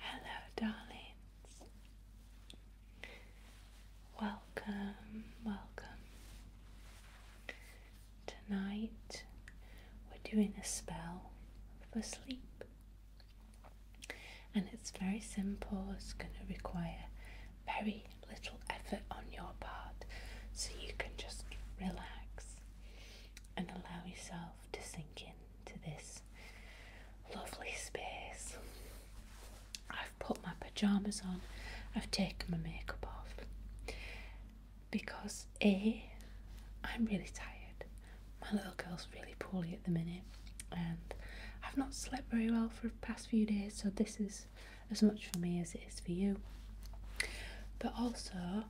Hello, darlings. Welcome, welcome. Tonight we're doing a spell for sleep. And it's very simple, it's going to require very little effort on your part, so you can just relax and allow yourself to sink into this lovely space. I've put my pajamas on, I've taken my makeup off, because A, I'm really tired. My little girl's really poorly at the minute, and I've not slept very well for the past few days, so this is as much for me as it is for you. But also,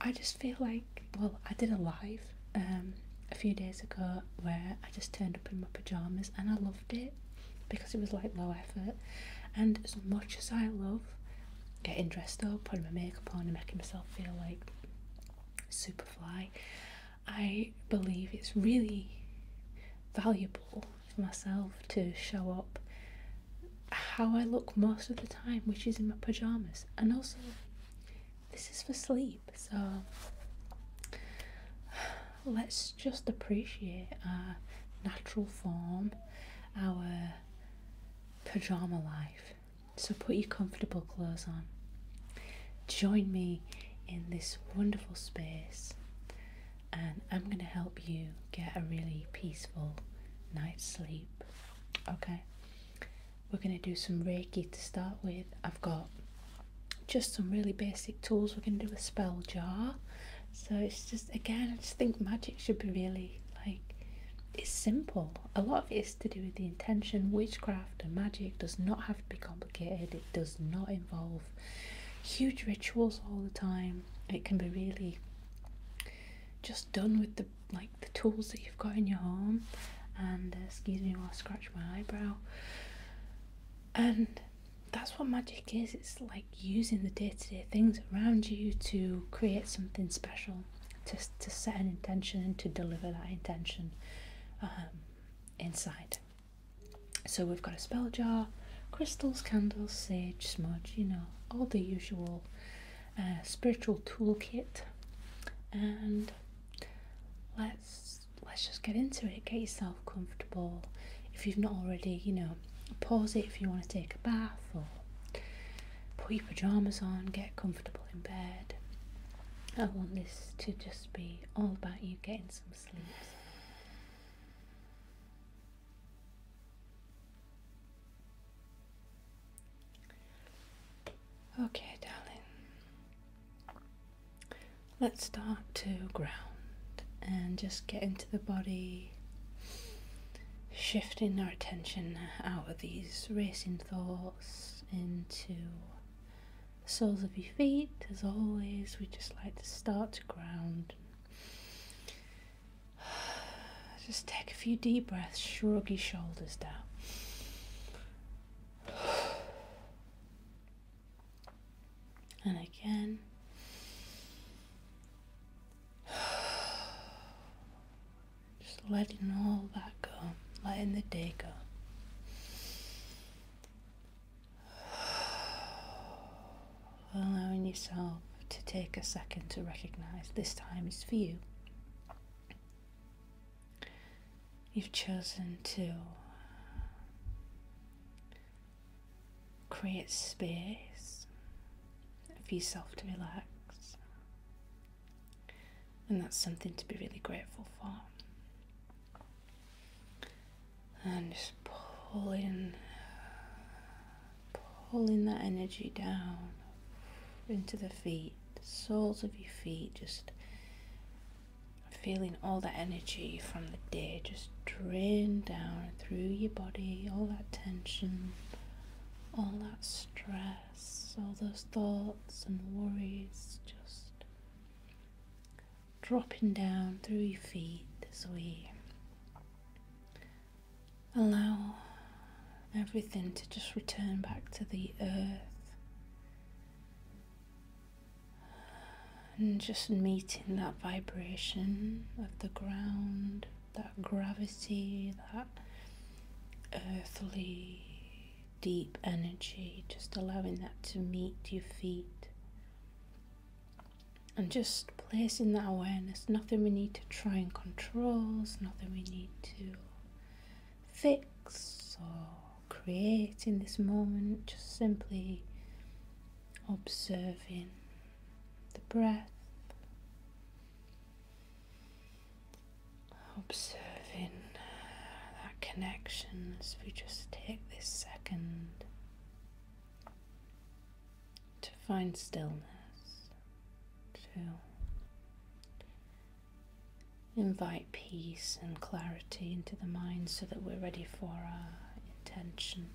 I just feel like, well, I did a live um, a few days ago where I just turned up in my pyjamas and I loved it because it was like low effort. And as much as I love getting dressed up, putting my makeup on, and making myself feel like super fly. I believe it's really valuable for myself to show up how I look most of the time, which is in my pajamas. And also, this is for sleep, so let's just appreciate our natural form, our pajama life. So put your comfortable clothes on. Join me in this wonderful space, and I'm going to help you get a really peaceful night's sleep. Okay? We're going to do some Reiki to start with. I've got just some really basic tools. We're going to do a spell jar. So it's just, again, I just think magic should be really like, it's simple a lot of it is to do with the intention. Witchcraft and magic does not have to be complicated, it does not involve huge rituals all the time. It can be really just done with the like the tools that you've got in your home and uh, excuse me while I scratch my eyebrow and that's what magic is it's like using the day to -day things around you to create something special to, to set an intention and to deliver that intention um, inside. So we've got a spell jar, crystals, candles, sage, smudge, you know, all the usual uh, spiritual toolkit. And let's let's just get into it. Get yourself comfortable. If you've not already, you know, pause it if you want to take a bath or put your pajamas on, get comfortable in bed. I want this to just be all about you getting some sleep. Okay, darling. Let's start to ground and just get into the body shifting our attention out of these racing thoughts into the soles of your feet, as always, we just like to start to ground. Just take a few deep breaths, shrug your shoulders down. And again, Just letting all that go, letting the day go. Allowing yourself to take a second to recognize this time is for you. You've chosen to create space for yourself to relax, and that's something to be really grateful for. And just pulling, pulling that energy down into the feet, soles of your feet, just feeling all that energy from the day just drain down through your body, all that tension, all that stress all those thoughts and worries just dropping down through your feet as we allow everything to just return back to the earth and just meeting that vibration of the ground that gravity, that earthly deep energy, just allowing that to meet your feet. And just placing that awareness, nothing we need to try and control, nothing we need to fix or create in this moment, just simply observing the breath, Observing that uh, connection as we just take this second to find stillness, to invite peace and clarity into the mind so that we're ready for our intention.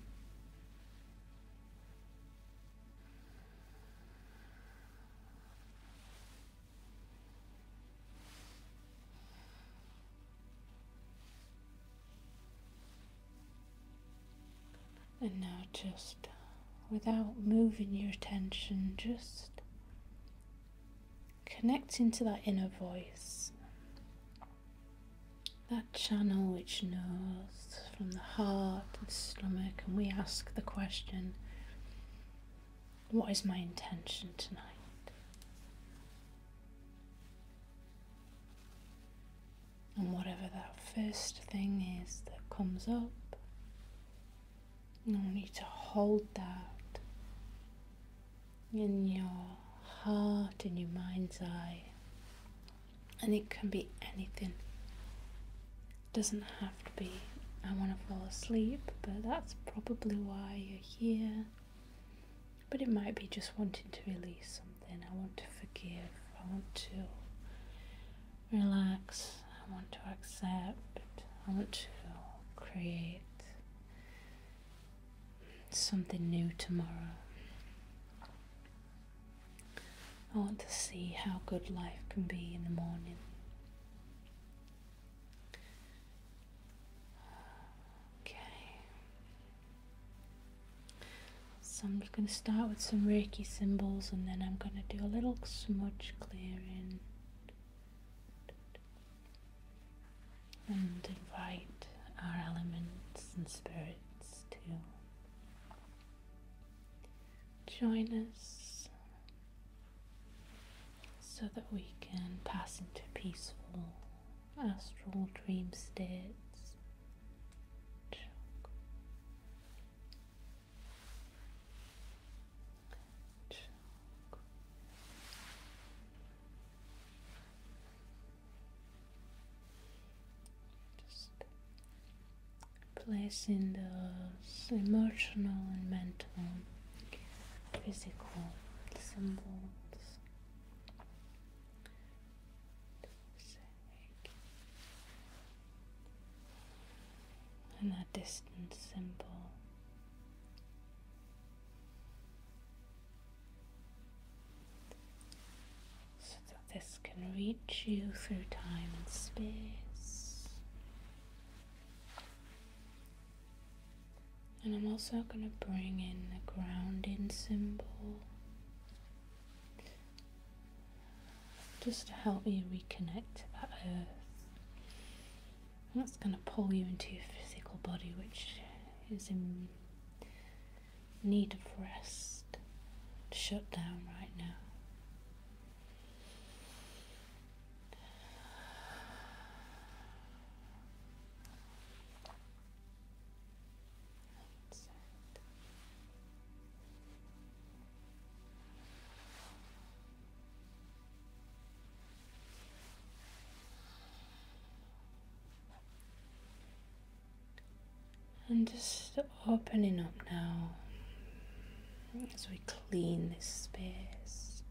And now, just uh, without moving your attention, just connecting to that inner voice, that channel which knows from the heart and stomach, and we ask the question what is my intention tonight? And whatever that first thing is that comes up, you need to hold that in your heart, in your mind's eye. And it can be anything. Doesn't have to be, I want to fall asleep, but that's probably why you're here. But it might be just wanting to release something. I want to forgive. I want to relax. I want to accept. I want to create something new tomorrow. I want to see how good life can be in the morning. Okay. So I'm just going to start with some Reiki symbols and then I'm going to do a little smudge clearing. And invite our elements and spirits to join us so that we can pass into peaceful astral dream states placing those emotional and mental, physical symbols. And that distant symbol so this can reach you through time and space. And I'm also going to bring in the grounding symbol just to help you reconnect to that earth. And that's going to pull you into your physical body, which is in need of rest, shut down right now. Mindset. Mindset. And just opening up now as we clean this space.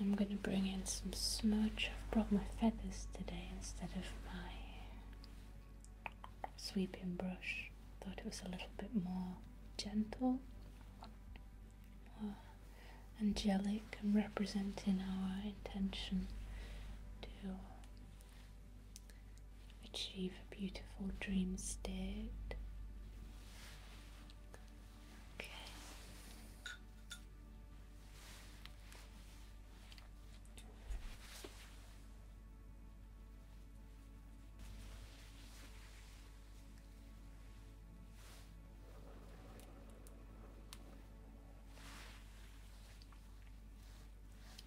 I'm going to bring in some smudge. I've brought my feathers today instead of my sweeping brush. Thought it was a little bit more gentle, more angelic, and representing our intention to achieve a beautiful dream state. Okay.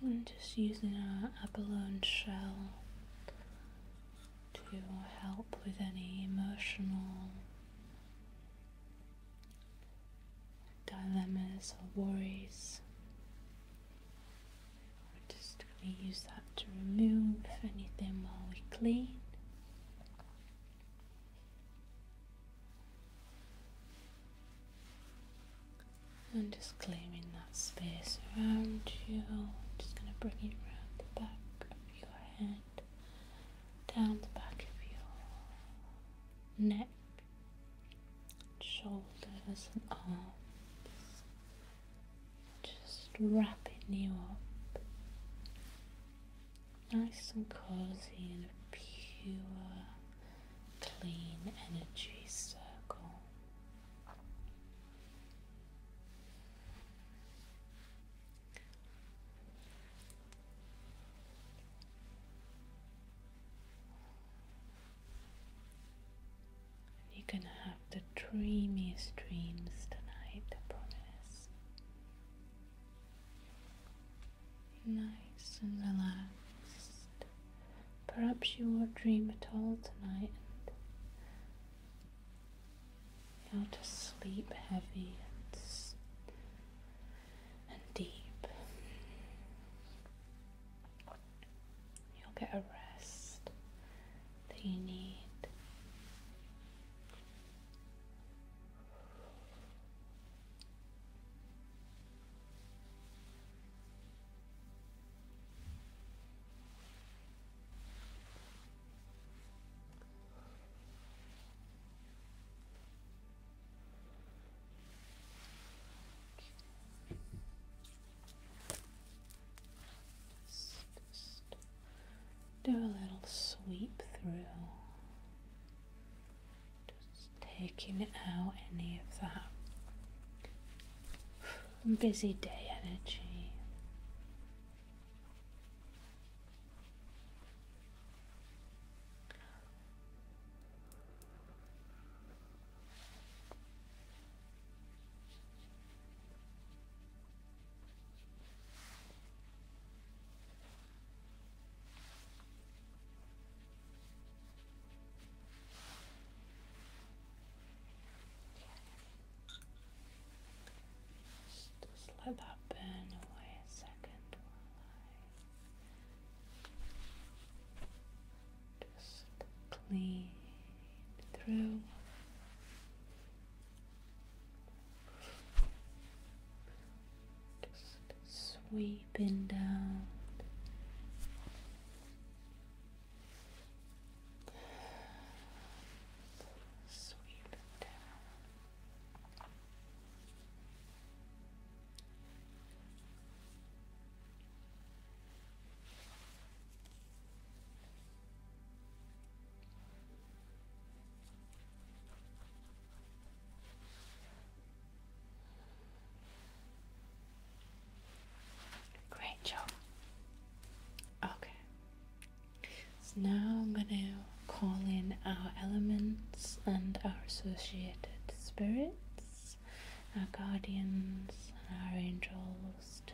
I'm just using an abalone shell to help with any emotional dilemmas or worries. We're just going to use that to remove anything while we clean. And just claiming that space around you. Just going to bring it around the back of your head, down the back of your neck, shoulders, and arms. Just wrapping you up. Nice and cozy in a pure, clean energy circle. You can have the dreamiest dreams tonight, I promise. Nice and relaxed. Perhaps you will not dream at all tonight and you'll just sleep heavy and, deep. You'll get a rest that you need do a little sweep through, just taking out any of that busy day energy let that burn away a second just clean through. Just sweeping down Sweep it Great job. Okay. So now I'm going to call in our elements and our associated spirits, our guardians and our angels to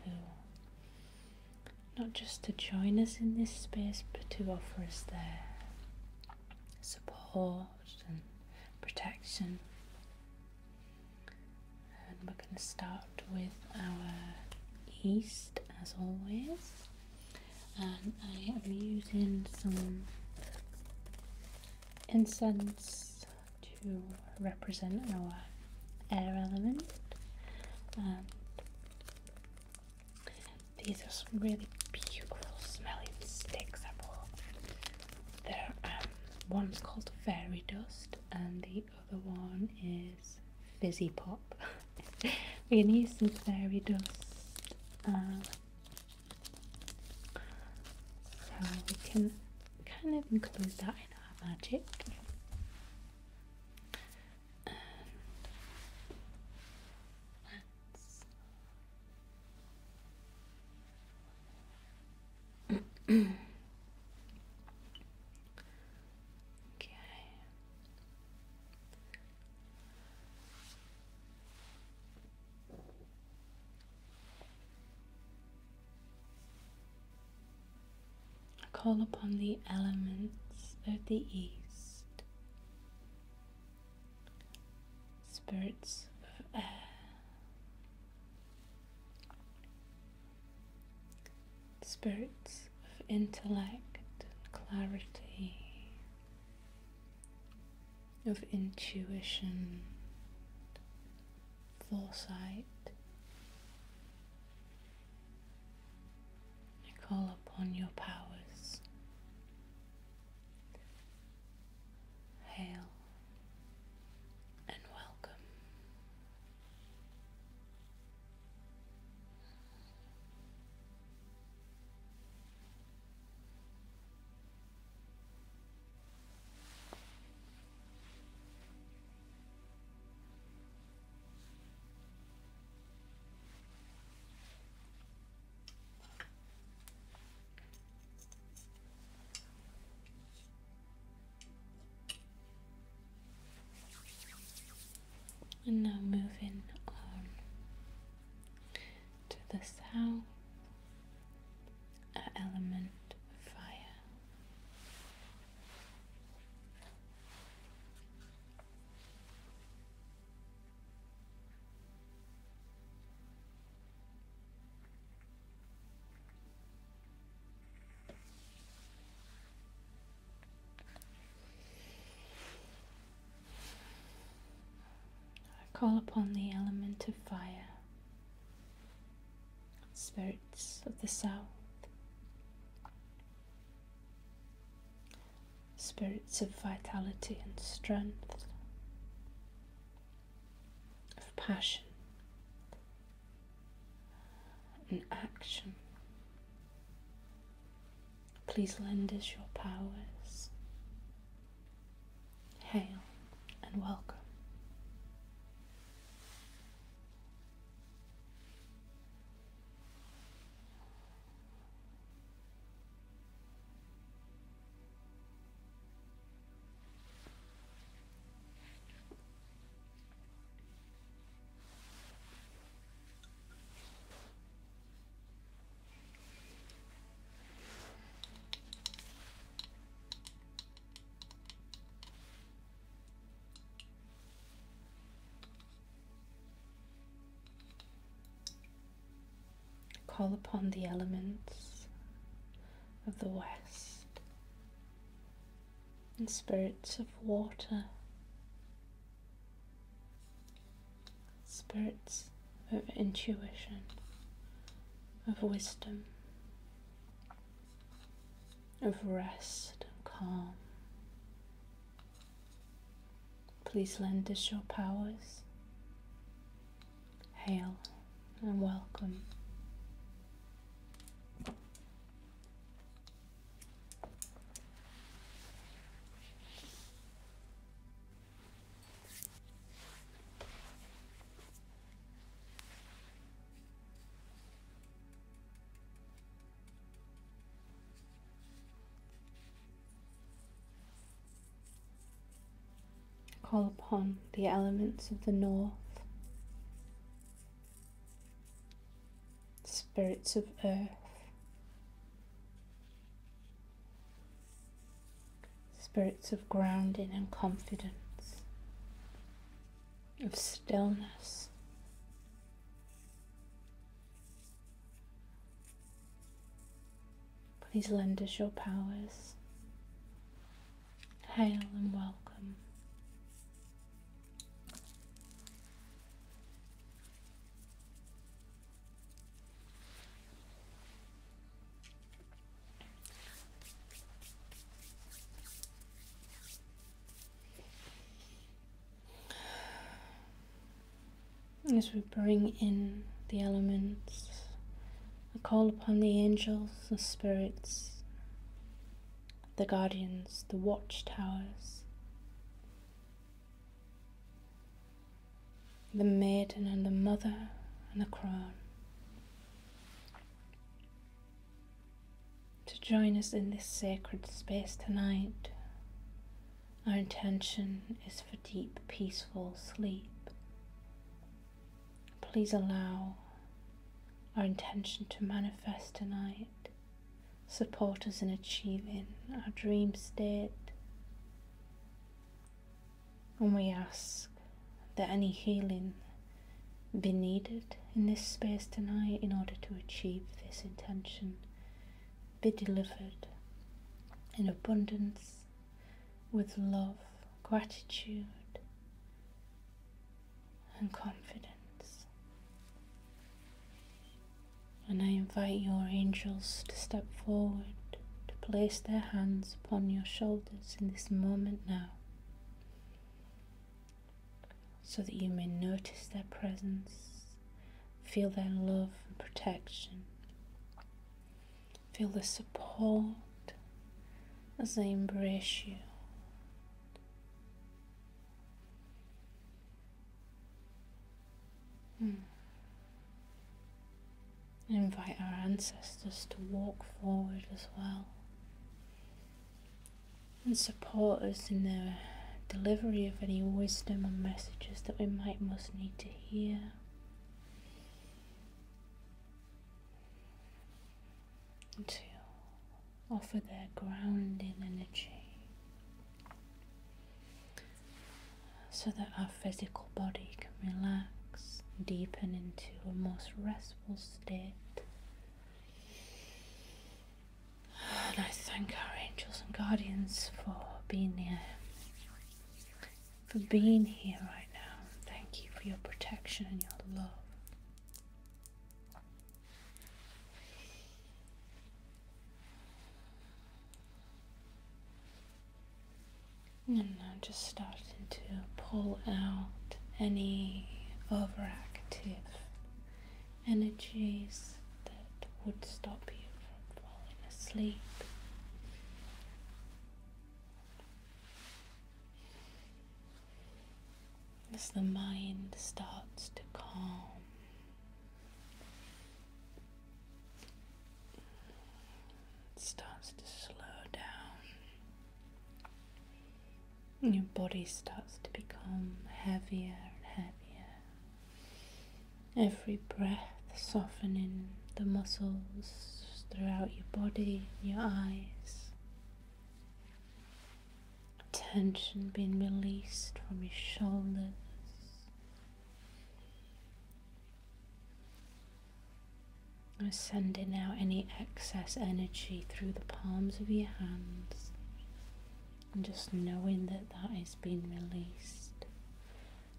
not just to join us in this space but to offer us their support and protection. And we're going to start with our east, as always. And I am using some incense to represent our air element. these are some really beautiful smelling sticks I bought. There, um, one's called Fairy Dust, and the other one is Fizzy Pop. We're gonna use some Fairy Dust. Um, so we can kind of include that in our magic. Call upon the elements of the east, spirits of air, spirits of intellect and clarity, of intuition, foresight. I call upon your powers. Hail and welcome. And now moving on to the south, element of fire. I call upon the element of fire, spirits of the south, spirits of vitality and strength, of passion and action. Please lend us your powers. Hail and welcome. Call upon the elements of the West, and spirits of water, spirits of intuition, of wisdom, of rest and calm. Please lend us your powers Hail and welcome. Call upon the elements of the north, spirits of earth, spirits of grounding and confidence, of stillness. Please lend us your powers. Hail and welcome. As we bring in the elements I call upon the angels, the spirits, the guardians, the watchtowers, the maiden and the mother and the crown to join us in this sacred space tonight. Our intention is for deep, peaceful sleep Please allow our intention to manifest tonight. Support us in achieving our dream state. And we ask that any healing be needed in this space tonight in order to achieve this intention be delivered in abundance with love, gratitude, and confidence. And I invite your angels to step forward to place their hands upon your shoulders in this moment now so that you may notice their presence, feel their love and protection, Feel the support as they embrace you. Hmm. Invite our ancestors to walk forward as well and support us in the delivery of any wisdom or messages that we might most need to hear to offer their grounding energy so that our physical body can relax, deepen into a most restful state. And I thank our angels and guardians for being here for being here right now. Thank you for your protection and your love. And I'm just starting to pull out any overactive energies that would stop you from falling asleep. As the mind starts to calm, starts to slow down, your body starts to become heavier and heavier. Every breath softening the muscles throughout your body, your eyes. Tension being released from your shoulders. And sending out any excess energy through the palms of your hands and just knowing that that is being released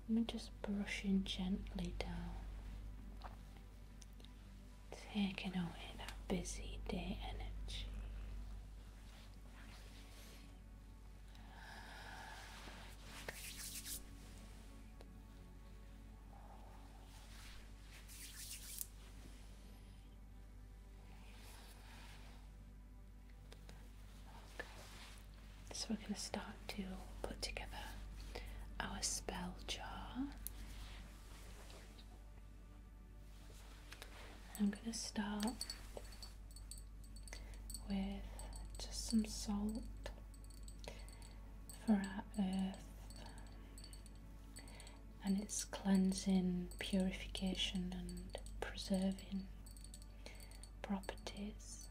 and just brushing gently down taking away that busy day energy. So we're going to start to put together our spell jar. I'm going to start with just some salt for our earth and its cleansing, purification, and preserving properties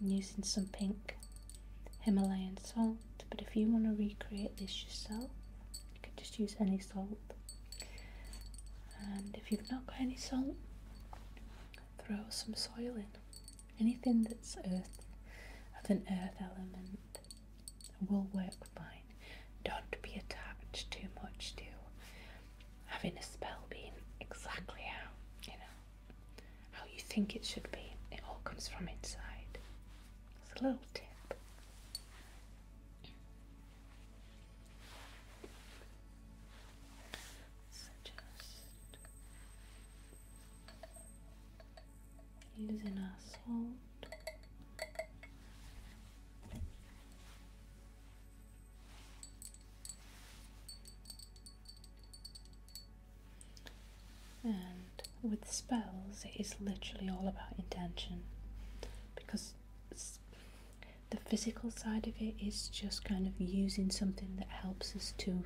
using some pink Himalayan salt, but if you want to recreate this yourself, you can just use any salt. And if you've not got any salt, throw some soil in. Anything that's earth, of an earth element, will work fine. Don't be attached too much to having a spell being exactly how, you know how you think it should be. It all comes from inside. It's a little tip. So just using our salt. And with spells, it is literally all about intention because the physical side of it is just kind of using something that helps us to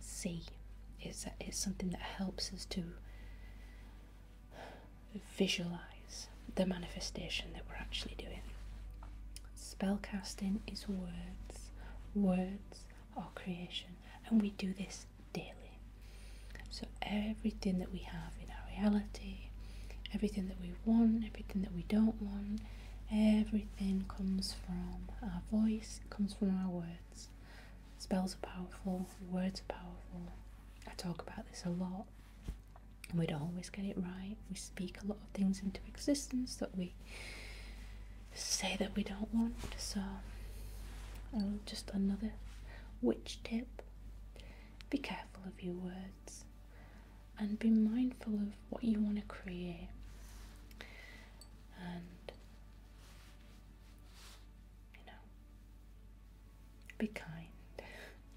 see. It's, it's something that helps us to visualize the manifestation that we're actually doing. Spellcasting is words, words, our creation, and we do this daily. So, everything that we have in our reality, everything that we want, everything that we don't want, everything comes from our voice, comes from our words. Spells are powerful, words are powerful. I talk about this a lot, and we don't always get it right. We speak a lot of things into existence that we say that we don't want. So, just another witch tip be careful of your words and be mindful of what you want to create. And, you know, be kind.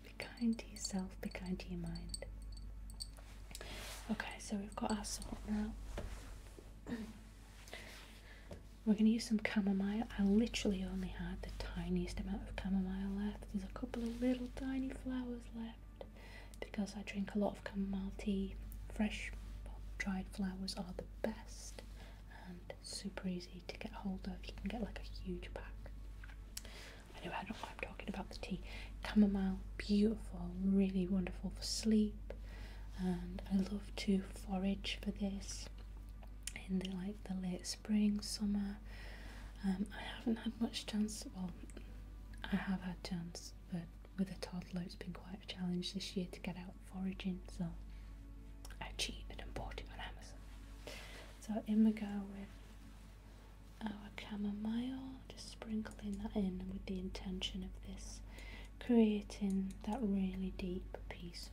Be kind to yourself, be kind to your mind. Okay, so we've got our salt now. We're going to use some chamomile. I literally only had the tiniest amount of chamomile left. There's a couple of little tiny flowers left because I drink a lot of chamomile tea. Fresh, dried flowers are the best and super easy to get hold of. You can get like a huge pack. Anyway, I don't know I'm talking about the tea. Chamomile, beautiful, really wonderful for sleep, and I love to forage for this in the like the late spring, summer. Um, I haven't had much chance. Well, I have had chance, but with a toddler, it's been quite a challenge this year to get out foraging. So I cheated and bought it on Amazon. So in we go with our camomile. just sprinkling that in with the intention of this creating that really deep, peaceful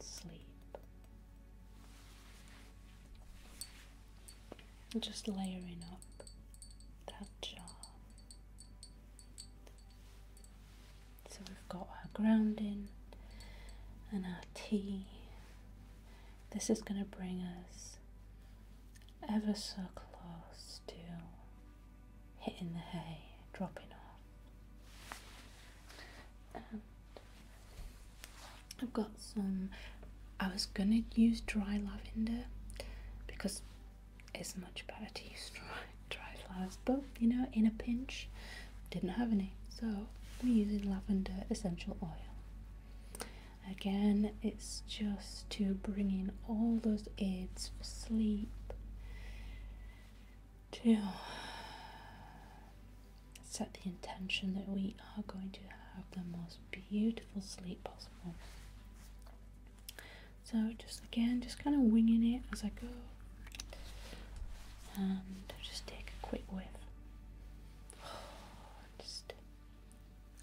sleep. Just layering up that jar. So we've got our grounding and our tea. This is going to bring us ever so close still hitting the hay, dropping off. I've got some, I was gonna use dry lavender because it's much better to use dry, lavender. flowers, but you know, in a pinch, didn't have any. So I'm using lavender essential oil. Again, it's just to bring in all those aids for sleep, to set the intention that we are going to have the most beautiful sleep possible. So, just again, just kind of winging it as I go, and just take a quick whiff. Just,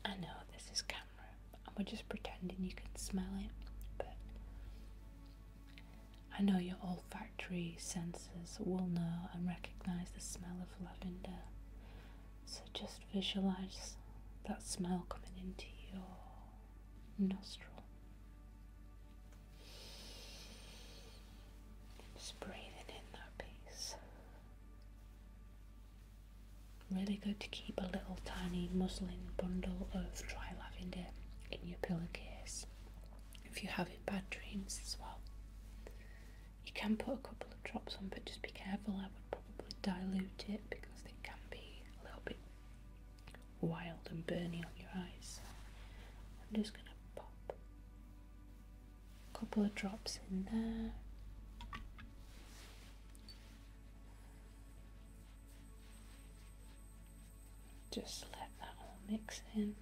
I know this is kind camera and we're just pretending you can smell it, but I know your olfactory senses will know and recognize the smell of lavender. So just visualize that smell coming into your nostril. Just breathing in that peace. Really good to keep a little tiny muslin bundle of dry lavender in your pillowcase if you have having bad dreams as well. You can put a couple of drops on, but just be careful. I would probably dilute it because it can be a little bit wild and burning on your eyes. I'm just going to pop a couple of drops in there. Just let that all mix in.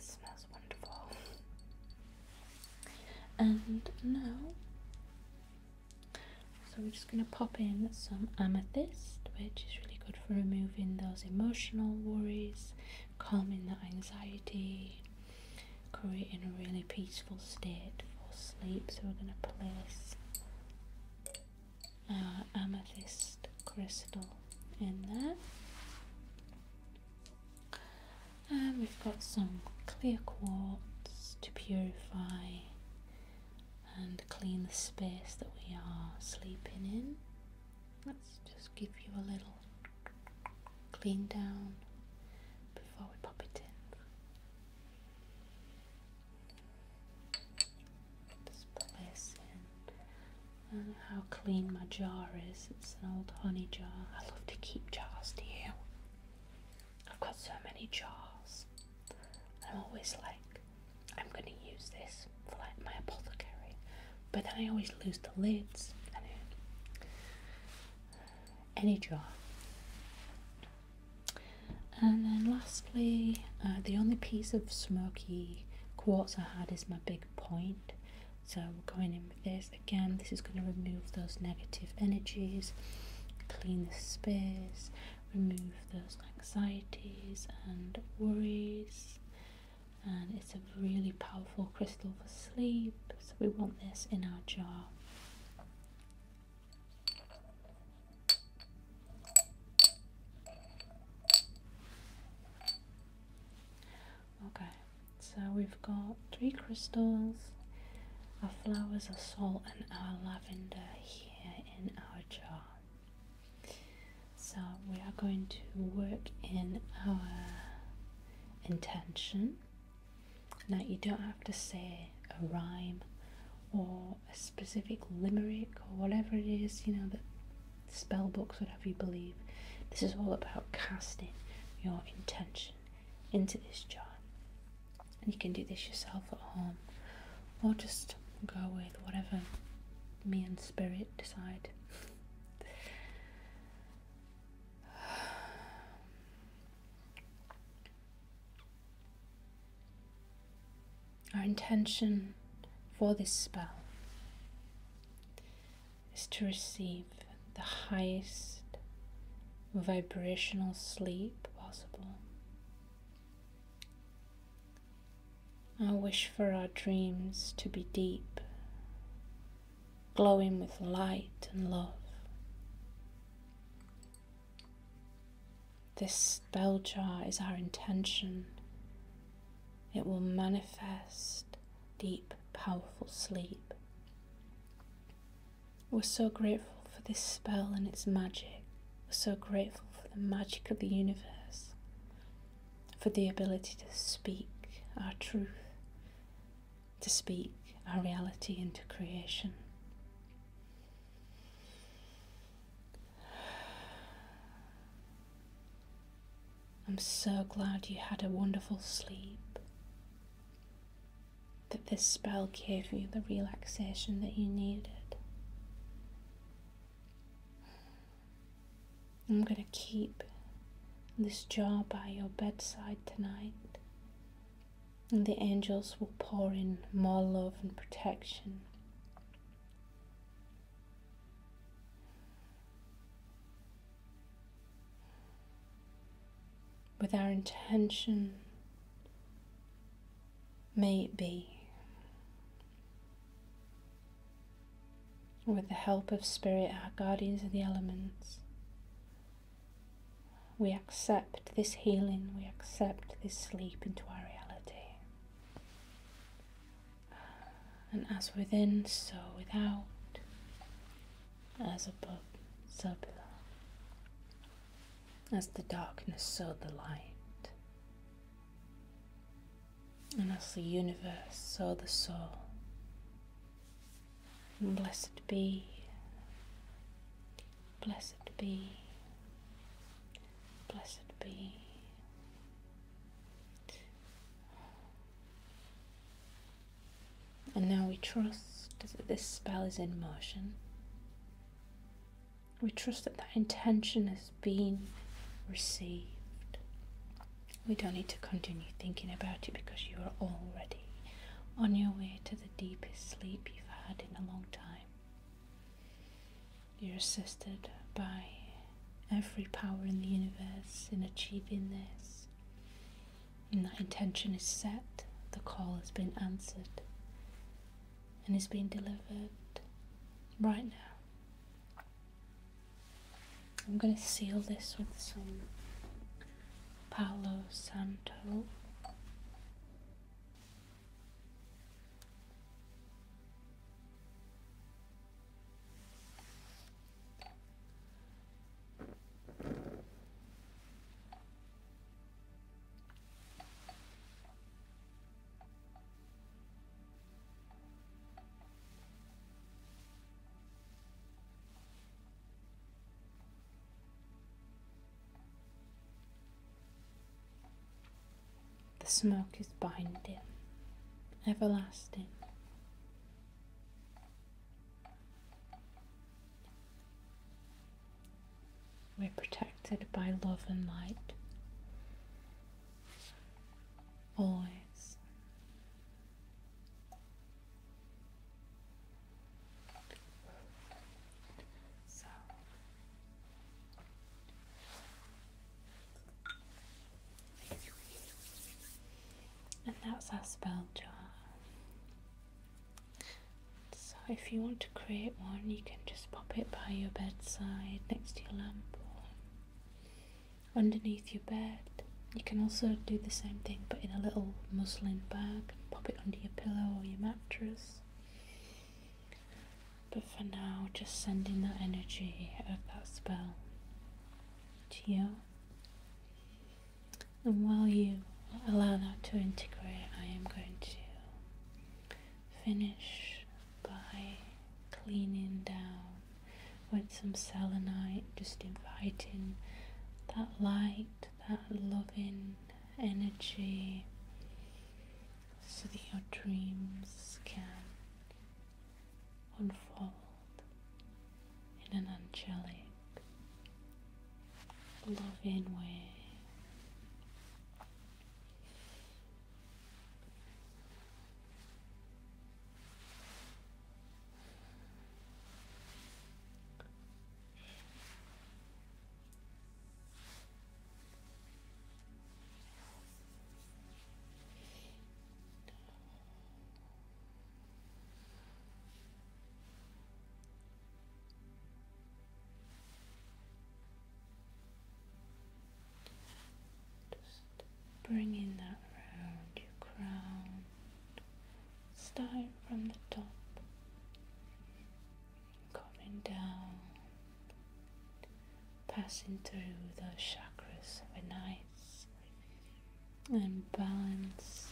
smells wonderful. And now, so we're just going to pop in some amethyst, which is really good for removing those emotional worries, calming the anxiety, creating a really peaceful state for sleep. So we're going to place our amethyst crystal in there. And we've got some clear quartz to purify and clean the space that we are sleeping in. Let's just give you a little clean down before we pop it in. Just put this in. how clean my jar is. It's an old honey jar. I love to keep jars, do I've got so many jars. I'm always like, I'm going to use this for like my apothecary. But then I always lose the lids any jar. And then lastly, uh, the only piece of smoky quartz I had is my big point. So we're going in with this. Again, this is going to remove those negative energies, clean the space, remove those anxieties and worries. And it's a really powerful crystal for sleep. So we want this in our jar Okay, so we've got three crystals, our flowers, our salt, and our lavender here in our jar. So we are going to work in our intention now, you don't have to say a rhyme or a specific limerick or whatever it is, you know, that spell books would have you believe. This is all about casting your intention into this jar. And you can do this yourself at home or just go with whatever me and spirit decide. Our intention for this spell is to receive the highest vibrational sleep possible. I wish for our dreams to be deep glowing with light and love. This spell jar is our intention. It will manifest deep, powerful sleep. We're so grateful for this spell and its magic. We're so grateful for the magic of the universe, for the ability to speak our truth, to speak our reality into creation. I'm so glad you had a wonderful sleep. That this spell gave you the relaxation that you needed. I'm going to keep this jar by your bedside tonight and the angels will pour in more love and protection. With our intention, may it be. With the help of Spirit, our guardians of the elements, we accept this healing, we accept this sleep into our reality. And as within, so without, as above, so below. As the darkness, so the light. And as the universe, so the soul. Blessed be, blessed be, blessed be. And now we trust that this spell is in motion. We trust that that intention has been received. We don't need to continue thinking about it because you are already on your way to the deepest sleep you've had in a long time. You're assisted by every power in the universe in achieving this. And that intention is set, the call has been answered, and is being delivered right now. I'm going to seal this with some Palo Santo. The smoke is binding, everlasting. We're protected by love and light. Always. So and that's our spell jar. So if you want to create one you can just pop it by your bedside next to your lamp or underneath your bed you can also do the same thing but in a little muslin bag, pop it under your pillow or your mattress. But for now, just sending that energy of that spell to you. And while you allow that to integrate, I am going to finish by cleaning down with some selenite, just inviting that light that loving energy, so that your dreams can unfold in an angelic, loving way. Just bringing that round your crown start from the top, coming down, passing through the chakras of a and balanced.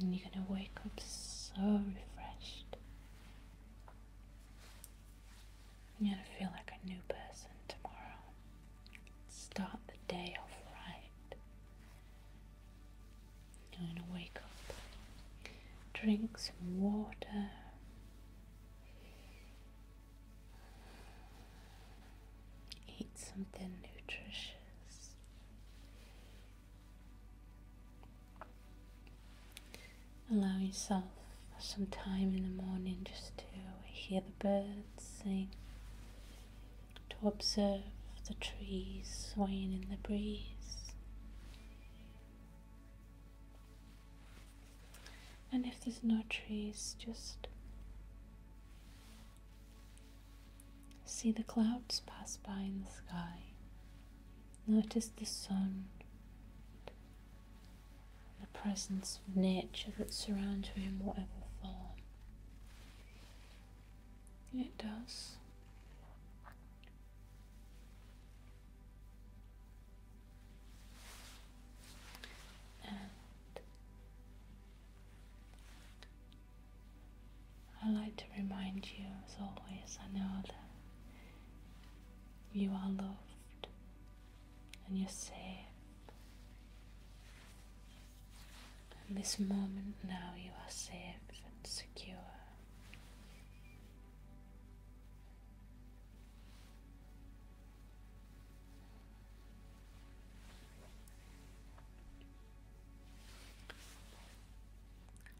And you're gonna wake up so refreshed. I'm gonna feel like a new person tomorrow. Start the day off right. I'm gonna wake up, drink some water. Eat something nutritious. Allow yourself some time in the morning just to hear the birds sing, to observe the trees swaying in the breeze. And if there's no trees, just see the clouds pass by in the sky. Notice the sun the presence of nature that surrounds you in whatever form. It does. And I like to remind you, as always, I know that you are loved and you're safe. In this moment now, you are safe and secure.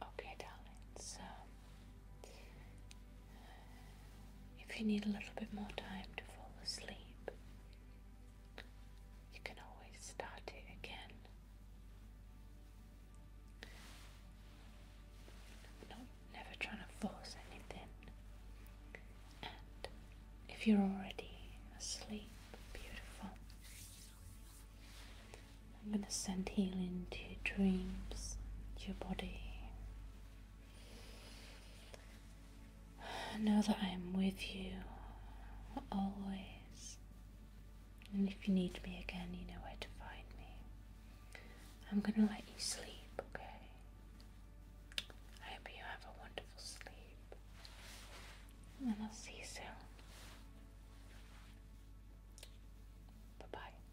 Okay, darling, so if you need a little bit more time to fall asleep, you can always start it again. No, never trying to force anything. And if you're already asleep, beautiful. I'm going to send healing to your dreams, to your body, Know that I am with you always. And if you need me again, you know where to find me. I'm gonna let you sleep, okay? I hope you have a wonderful sleep. And I'll see you soon. Bye bye.